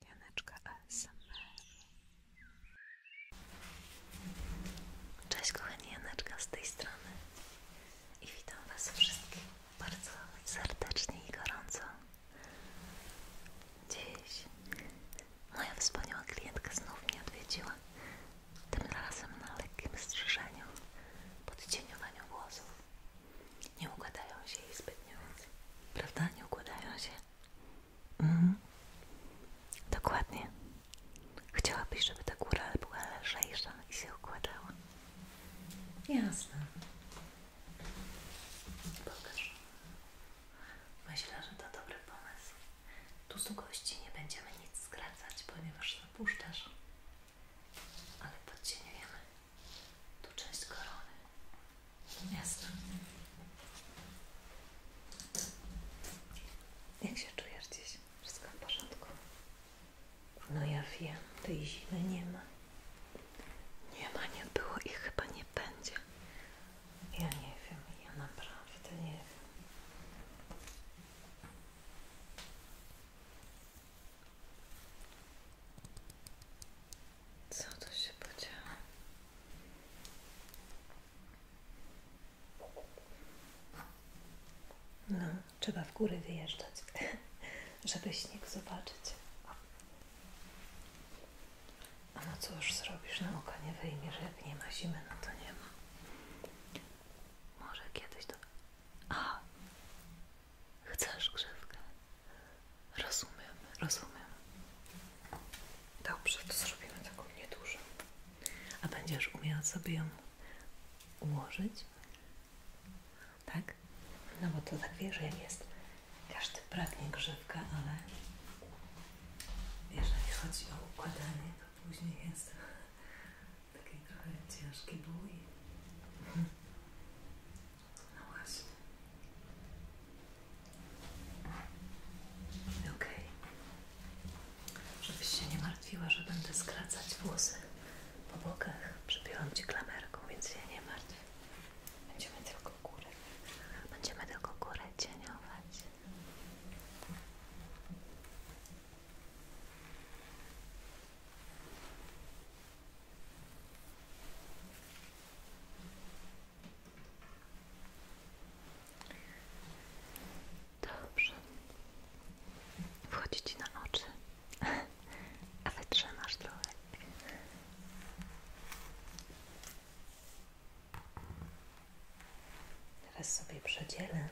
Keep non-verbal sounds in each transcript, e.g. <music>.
Janeczka ASMR. Cześć kochani, Janeczka z tej strony i witam Was wszystkich bardzo serdecznie i gorąco. Dziś moja wspaniała klientka znów mnie odwiedziła, tym razem na lekkim strzyżeniu, podcieniowaniu włosów. Nie układają się jej zbytnio Prawda? Nie układają się? Mhm. Dokładnie. Chciałabyś, żeby ta góra była lżejsza i się układała? Jasne. Pokaż. Myślę, że to dobry pomysł. Tu z gości nie będziemy nic skracać, ponieważ zapuszczasz ale podcieniujemy tak tu część korony. Jasne. Jak się czujesz dziś? Wszystko w porządku? No ja wiem, tej zimy nie ma. Nie ma, nie było i chyba nie będzie. Ja nie wiem, ja naprawdę nie wiem. Co to się podziało? No, trzeba w góry wyjeżdżać, <laughs> żeby śnieg zobaczyć. A no cóż zrobisz, na no oka nie wyjmiesz, jak nie ma zimy, no to nie ma. Może kiedyś to... A, Chcesz grzewkę? Rozumiem, rozumiem. Dobrze, to zrobimy taką niedużą. A będziesz umiała sobie ją ułożyć? Tak? No bo to tak wiesz, jak jest. Każdy pragnie grzywka, ale jeżeli chodzi o układanie, to później jest taki trochę ciężki bój. <laughs> No właśnie. Okej. Żebyś się nie martwiła, że będę skracać włosy po bokach. Przypiłam Ci klamerką, więc się nie martw. Będziemy tylko górę. Będziemy tylko górę cieniować. Dobrze. Wchodzi ci na oczy, <laughs> a wytrzymasz trochę. Teraz sobie przedzielę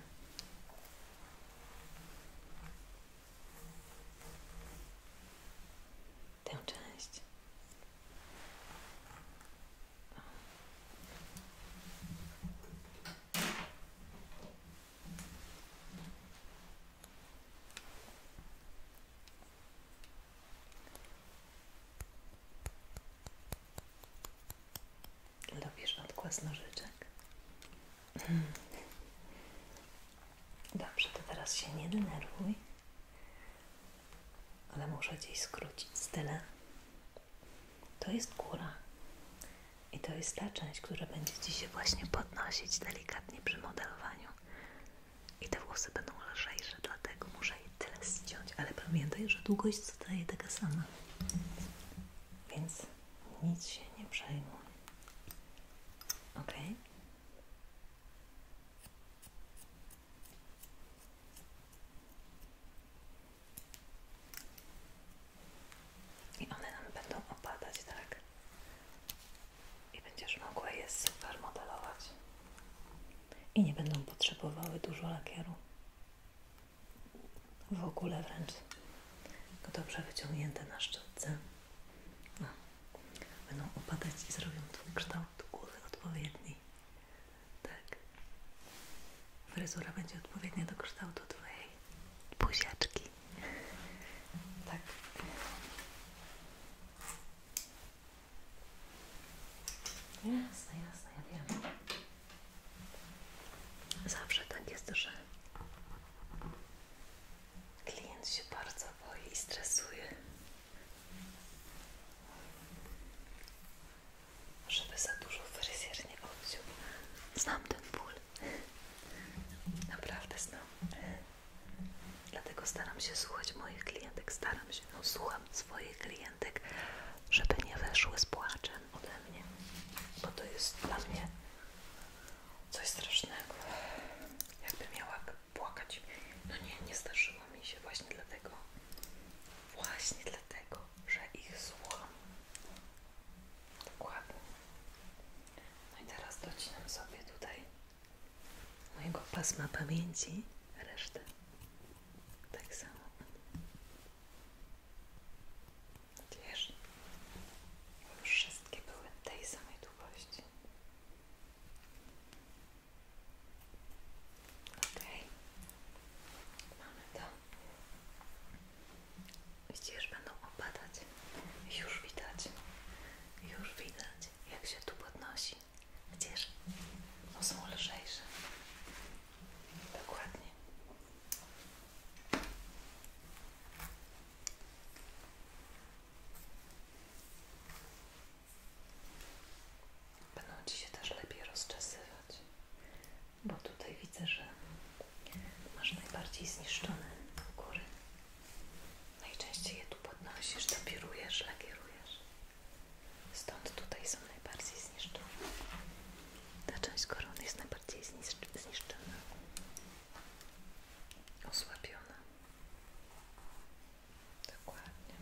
tę część. Lubisz odgłos nożyczek? Dobrze, to teraz się nie denerwuj, ale muszę gdzieś skrócić Z style. To jest góra i to jest ta część, która będzie Ci się właśnie podnosić delikatnie przy modelowaniu. I te włosy będą lżejsze, dlatego muszę je tyle ściąć, ale pamiętaj, że długość zostaje taka sama. Więc nic się nie przejmuj. Ok. I one nam będą opadać, tak? I będziesz mogła je super modelować. I nie będą potrzebowały dużo lakieru. W ogóle wręcz. Tylko dobrze wyciągnięte na szczytce. No. Będą opadać i zrobią ten kształt głowy odpowiedniej Tak. Fryzura będzie odpowiednia do kształtu twojej buziaczki. Tak. Jasne, jasne, ja wiem. Zawsze tak jest, że Klient się bardzo boi i stresuje. Żeby za dużo fryzjer nie odciął. Znam ten ból. Naprawdę znam. Dlatego staram się słuchać moich klientek. Staram się, no słucham swoich klientek, żeby nie weszły z płaczem ode mnie. Bo to jest dla mnie coś strasznego, jakby miała płakać. No nie, nie zdarzyło mi się właśnie dlatego, właśnie dlatego, że ich słucham. Dokładnie. No i teraz docinam sobie tutaj mojego pasma pamięci resztę. Tak samo. Wiesz, wszystkie były tej samej długości. Ok, mamy to. Widzisz, będą opadać. Już widać, już widać, jak się tu podnosi. Widzisz, bo no są lżejsze. Dokładnie. Będą Ci się też lepiej rozczesywać, bo tutaj widzę, że masz najbardziej zniszczone góry. Najczęściej je tu podnosisz, tapirujesz, lakierujesz. Stąd tutaj są najbardziej zniszczone. Ta część korony jest najbardziej zniszczona osłabiona. Dokładnie.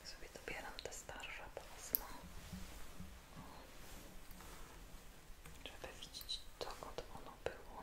Ja sobie dobieram te starsze pasmo, żeby widzieć dokąd ono było.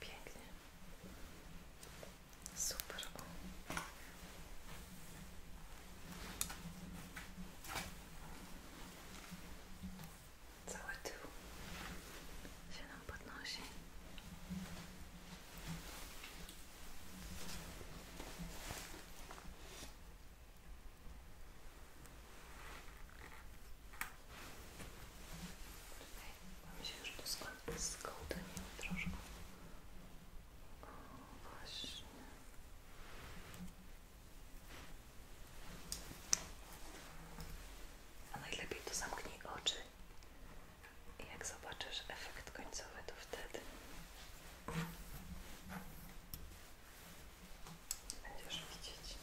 Pięknie. Super. Cały tył się nam podnosi. Mam się już doskonale skołdeniło troszkę. O, właśnie. A najlepiej to zamknij oczy jak zobaczysz efekt końcowy, to wtedy będziesz widzieć.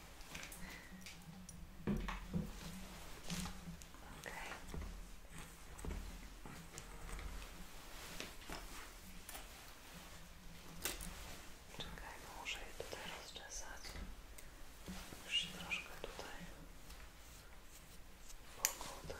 Okay. Czekaj, muszę je tutaj rozczesać. jeszcze się troszkę tutaj pokłodniły.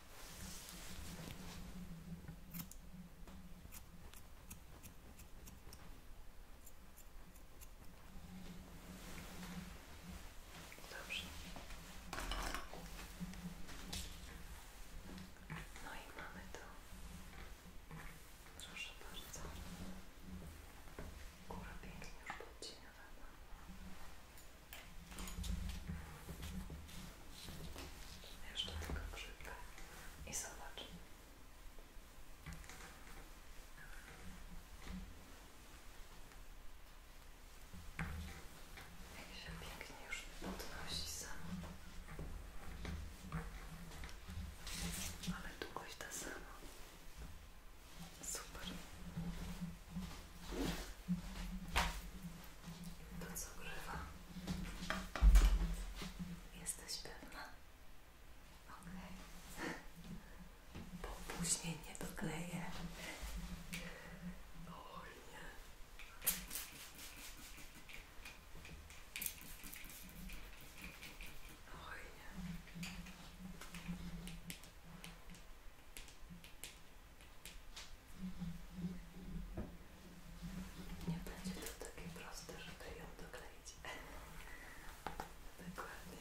Dobrze. No i mamy to. Proszę bardzo. Góra pięknie już podciniowana. Jeszcze tylko grzyby i zobacz. Jak się pięknie już podnosi samo. Ale długość ta sama. Super to co grywa. Jesteś pewna? Okej. Bo później nie dokleję. O nie. Nie będzie to takie proste, żeby ją dokleić. <laughs> Dokładnie.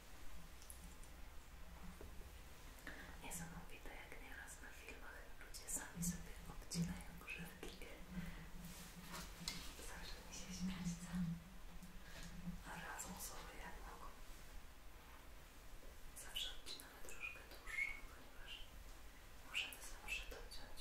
Niesamowite, jak nieraz na filmach ludzie sami sobie odcinają grzywki. Zawsze mi się śmiać chce. A razem sobie jak mogą. Zawsze obcinamy troszkę dłuższą, ponieważ możemy zawsze dociąć.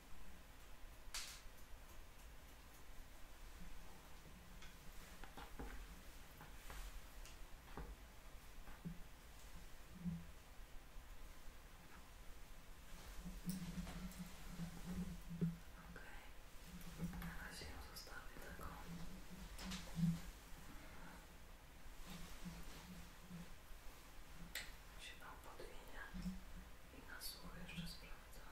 Okay. Na razie ją zostawię taką. Się tam podwinie i na sucho jeszcze sprawdzam.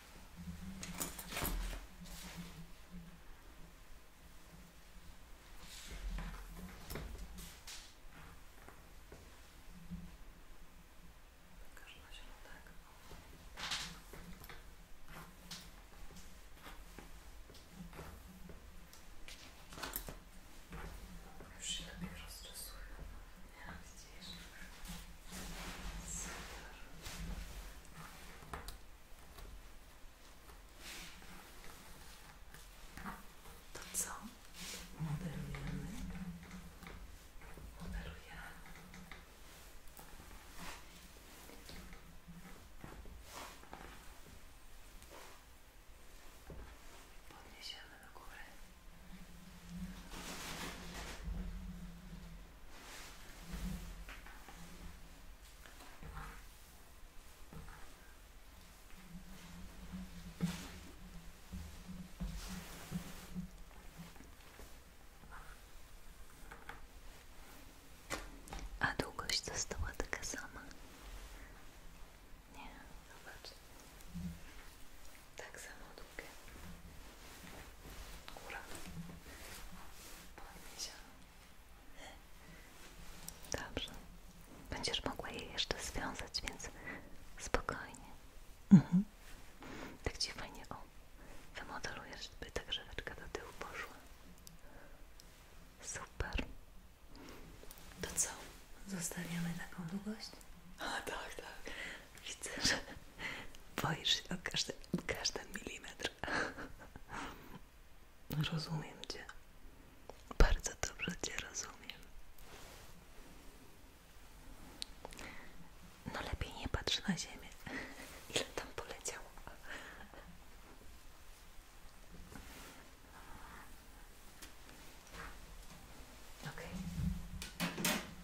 Każda się tak. Już się lepiej rozczesuję. Ja widzisz. Super. To co? Modelujemy. Modelujemy. Podniesiemy do góry. A długość została taka sama. Nie, zobacz tak samo długie góra podniesiona dobrze będziesz mogła je jeszcze związać, więc spokojnie mhm. tak Ci o wymodelujesz, by ta grzeweczka do tyłu poszła super to co? zostawiamy taką długość? a tak, tak Widzę, że boisz się o każdy, każdy milimetr. Rozumiem Cię. Bardzo dobrze Cię rozumiem. No lepiej nie patrz na ziemię. Ile tam poleciało. Okej.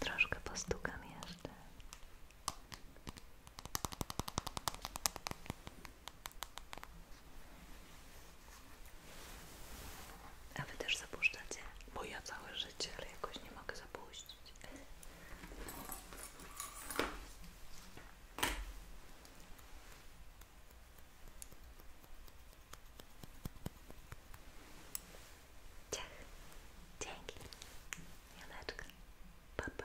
Troszkę postukam jeszcze. A wy też zapuszczacie? Bo ja całe życie, jakoś nie mogę zapuścić. Ciach. Dzięki. Janeczka. Pa,